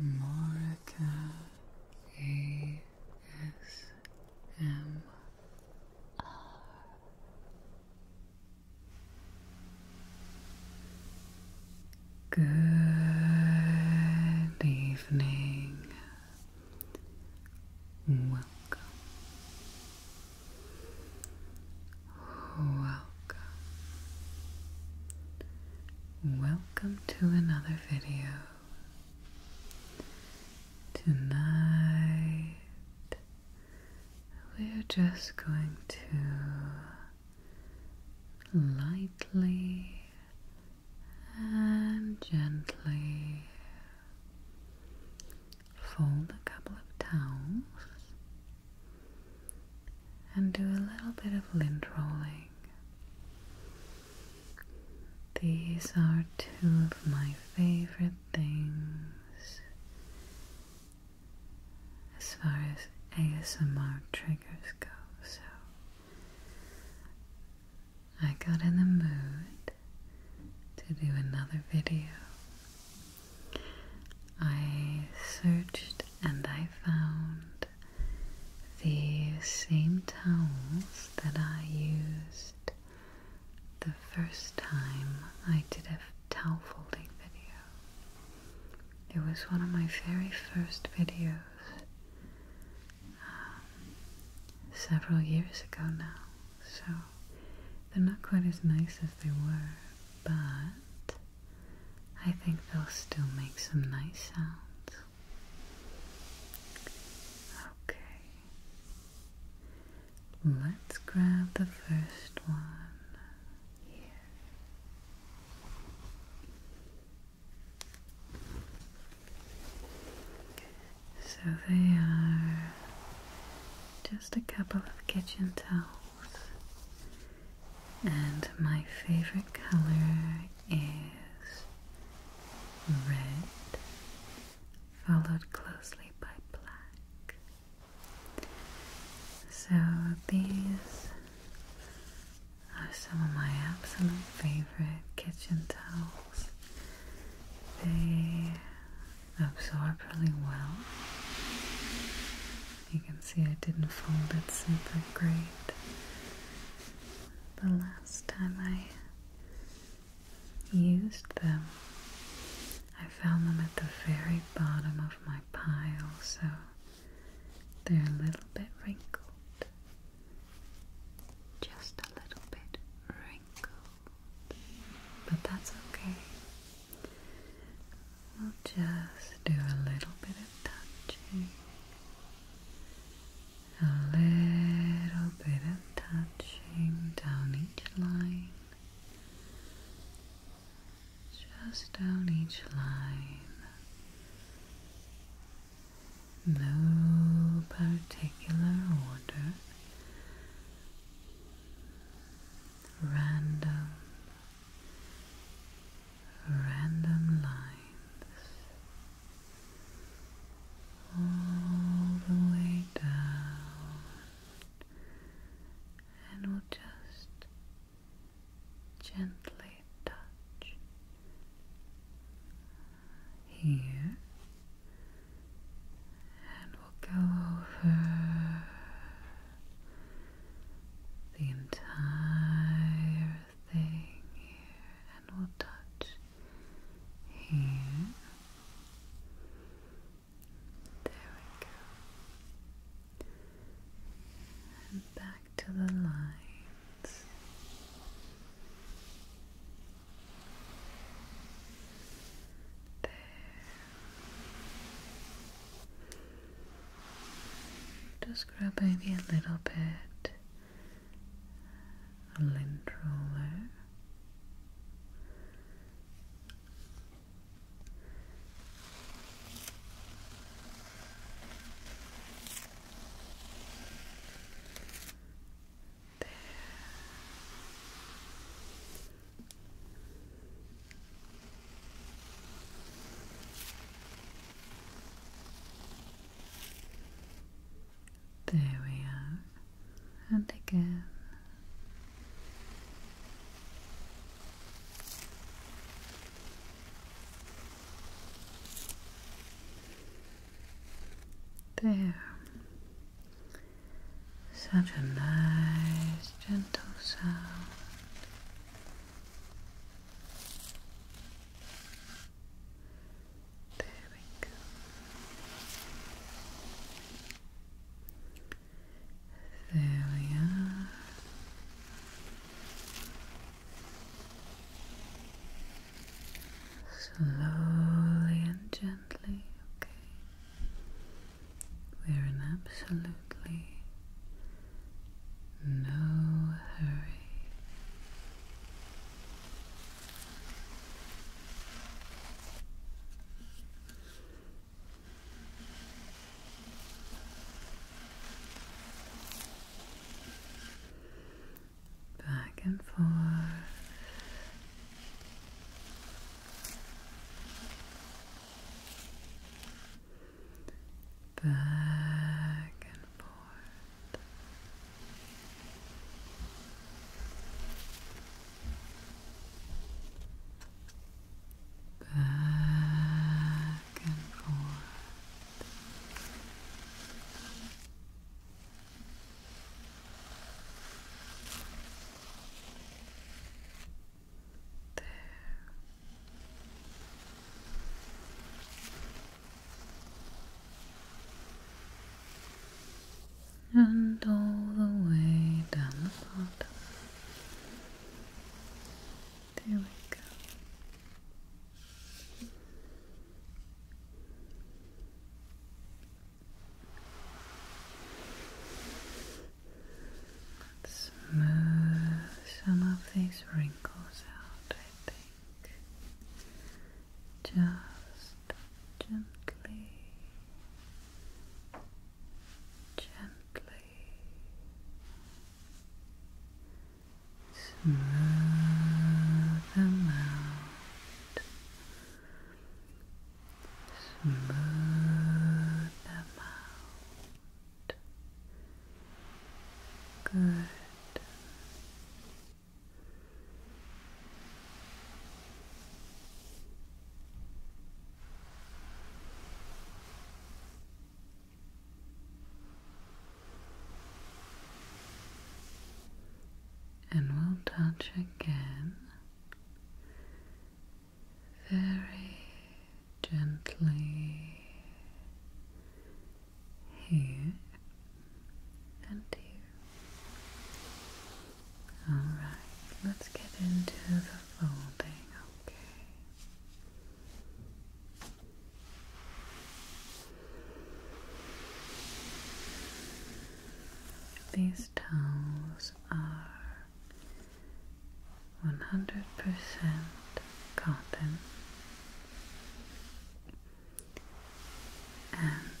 Morika ASMR. Good evening. Welcome. Welcome. Welcome welcome to another video. Tonight, we're just going to lightly and gently fold a couple of towels and do a little bit of lint rolling. These are two of my favorite things as far as ASMR triggers go, so I got in the mood to do another video. I searched and I found the same towels that I used the first time I did a towel folding video. It was one of my very first videos um, several years ago now, so they're not quite as nice as they were, but I think they'll still make some nice sounds. Okay. Let's grab the first one here. So they are just a couple of kitchen towels and my favorite color is red, followed closely by black. So these are some of my absolute favorite kitchen towels. They absorb really well you can see I didn't fold it super great. The last time I used them, I found them at the very bottom of my pile, so they're a little bit wrinkled. Just a little bit wrinkled. But that's okay. We'll just do a little bit of touching. A little bit of touching down each line. Just down each line. No particular order. Random random lines all the way down, and we'll just gently touch here. And we'll go over the entire thing here, and we'll touch here. There we go. And back to the lines. There. Just grab maybe a little bit a lint roller there. There we are, and again. There. Such a nice gentle sound. There we go. There we are. Slowly and gently, okay. We're in absolutely no hurry. Back and forth back and forth. Back and forth. And all the way down the bottom. There we go smooth some of these wrinkles out, I think. Just gently, gently smooth them out. Smooth them out. Good. And we'll touch again very gently here and here. Alright, let's get into the folding, okay? These towels are 100% cotton and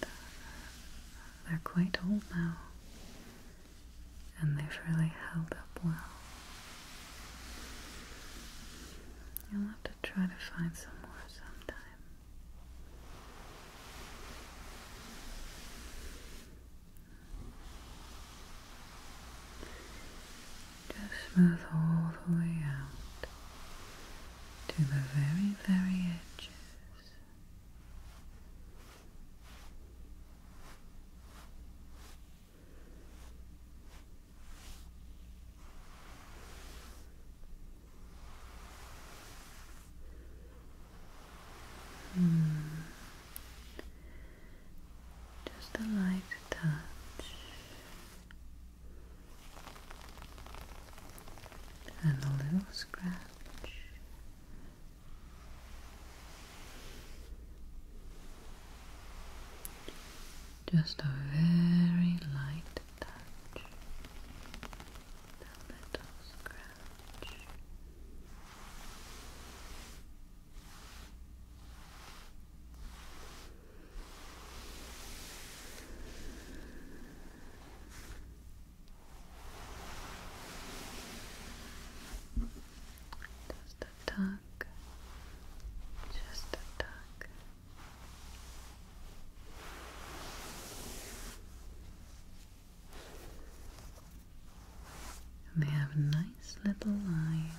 they're quite old now and they've really held up well. You'll have to try to find some more sometime. Just move all the way out to the very, very edges. Hmm. Just a light touch, and a little scratch. Just a very light touch, a little scratch touch. Just a tuck, just a tuck they have nice little lines.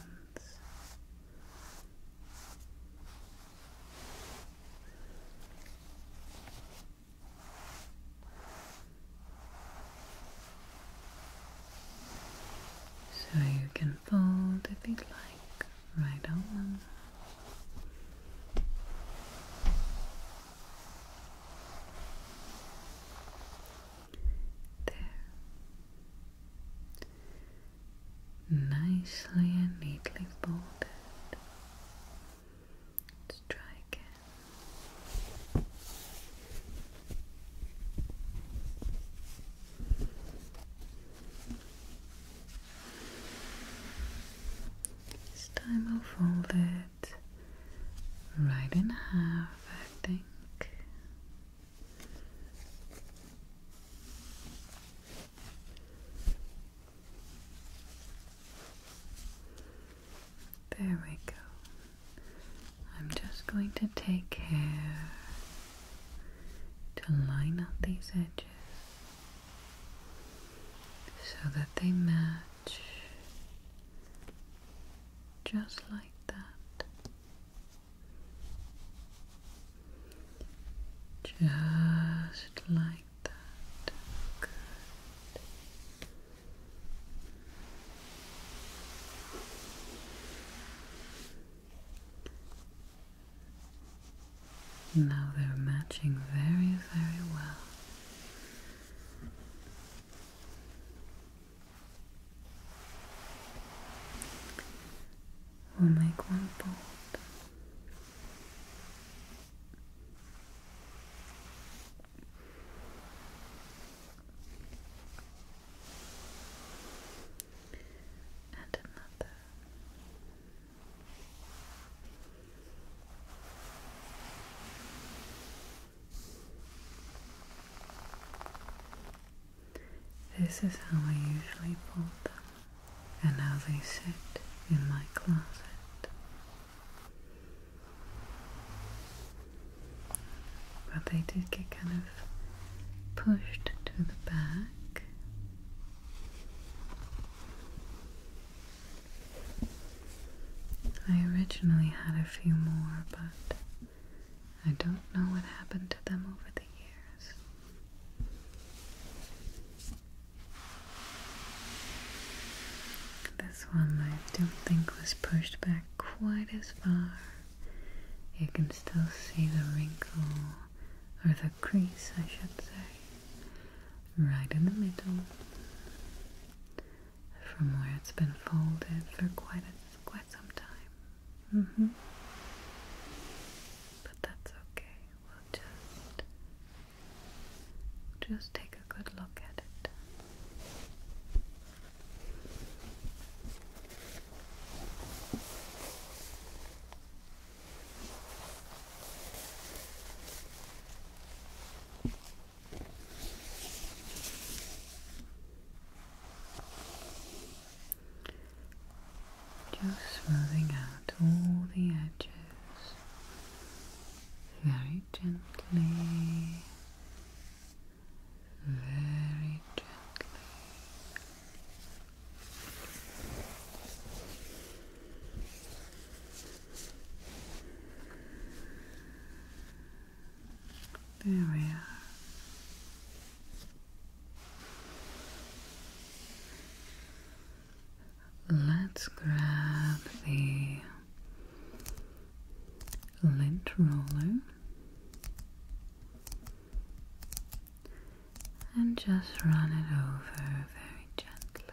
So you can fold if you like, right on. There. Nicely and neatly folded. Let's try again. This time I'll fold it right in half, I think. There we go. I'm just going to take care to line up these edges so that they match just like that. Just like that. Good. Now they're matching very, very well. We'll make one fold. And another. This is how I usually fold them and how they sit in my closet. But they did get kind of pushed to the back. I originally had a few more, but I don't know what happened to them over the years. This one I don't think was pushed back quite as far. You can still see the wrinkle, or the crease, I should say, right in the middle from where it's been folded for quite a, quite some time. Mm-hmm. But that's okay. We'll just just take a good look at it. Just smoothing out all the edges very gently, very gently. There we are. Let's grab the lint roller and just run it over very gently.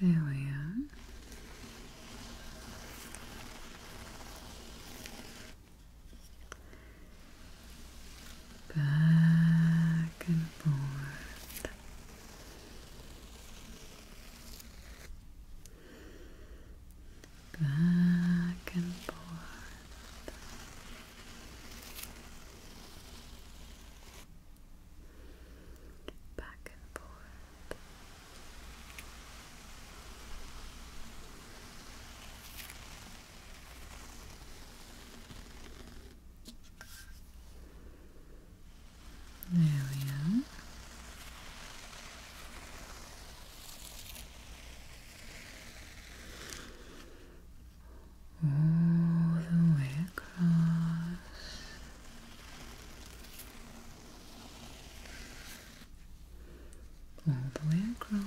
There we are. Back and forth. Back and forth back and forth. There we are. All the way across all the way across. There.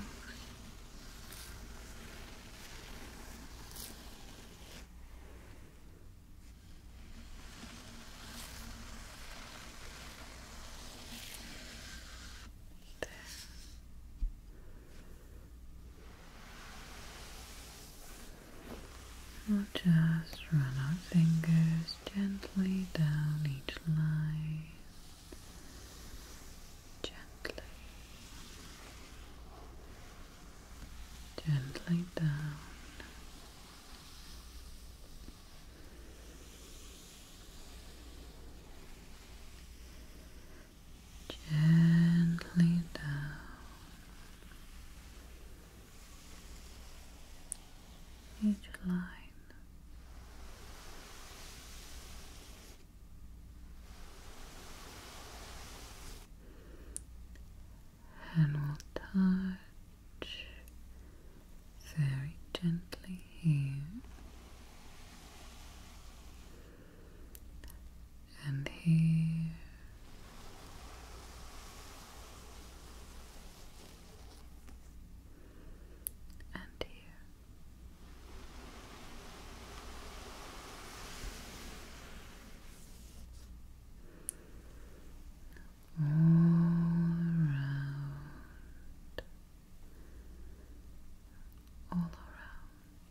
We'll just run our fingers gently down each line. Gently. Gently down. Gently down each line. And we'll touch very gently here and here. And here. All around, all around,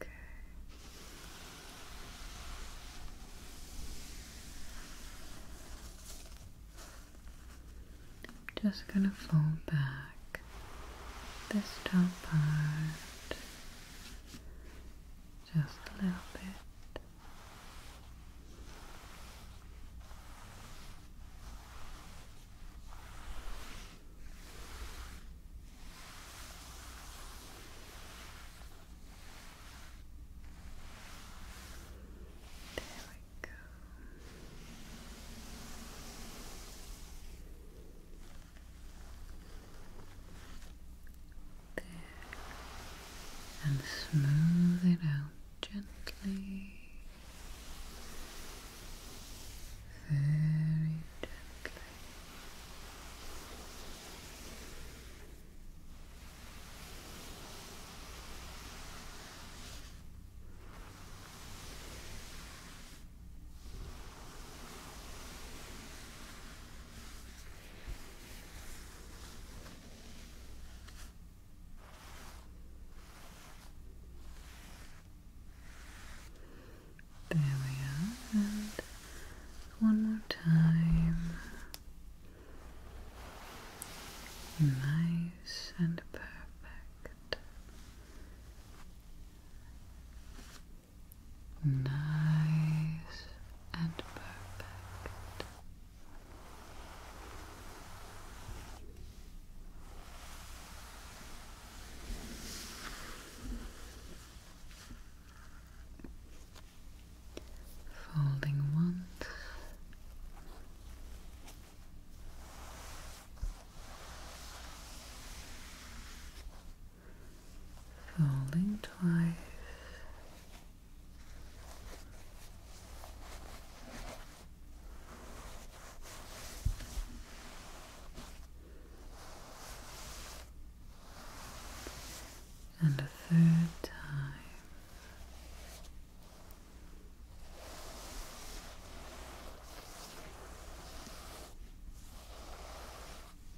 Okay. I'm just going to fold back this top part just a little bit. There we go. Good. And smooth it out gently. Very gently. There we are, and one more time. Nice and perfect. Nice and perfect. Folding once folding twice. And a third time.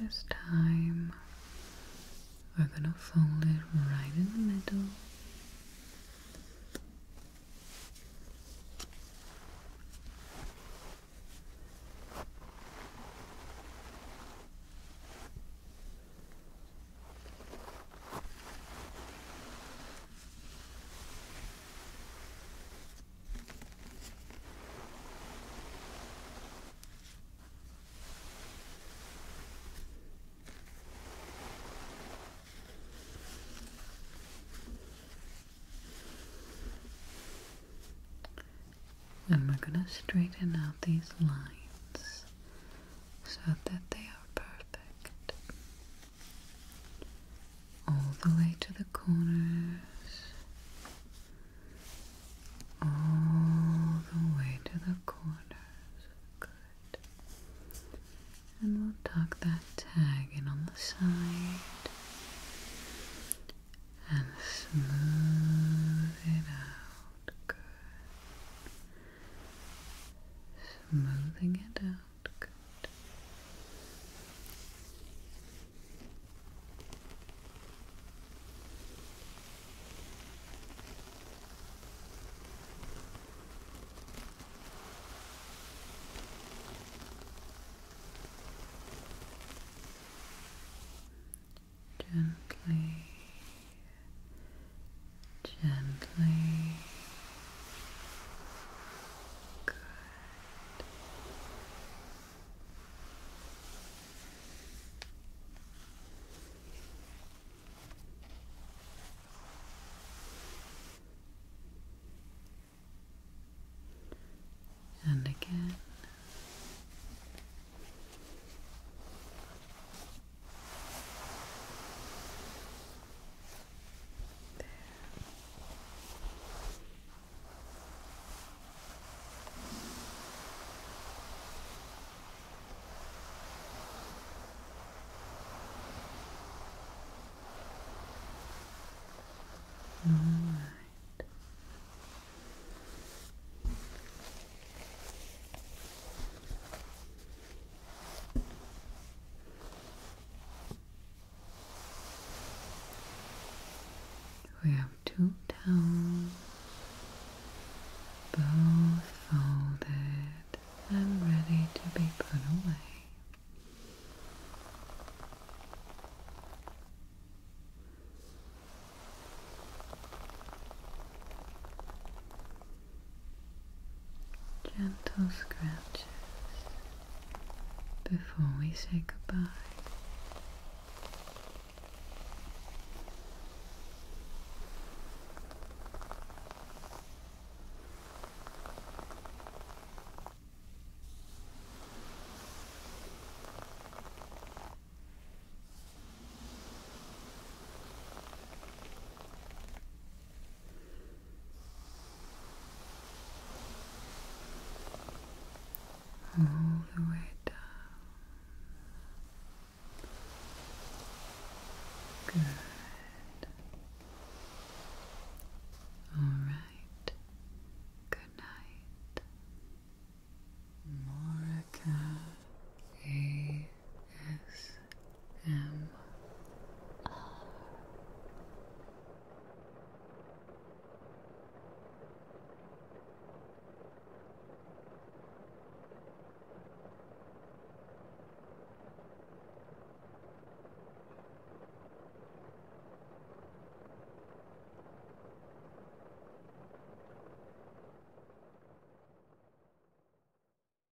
This time we're gonna fold it right in the middle. And we're going to straighten out these lines so that they are perfect all the way to the corners, all the way to the corners. Good. And we'll tuck that tag in on the side and smooth it out. Good. Smoothing it out out. Good. Gently, gently, Good. And again. There. All right. We have two towels, both folded and ready to be put away gentle scratches before we say goodbye all the way down. Good. All right. Good night. Moraka. A S M R.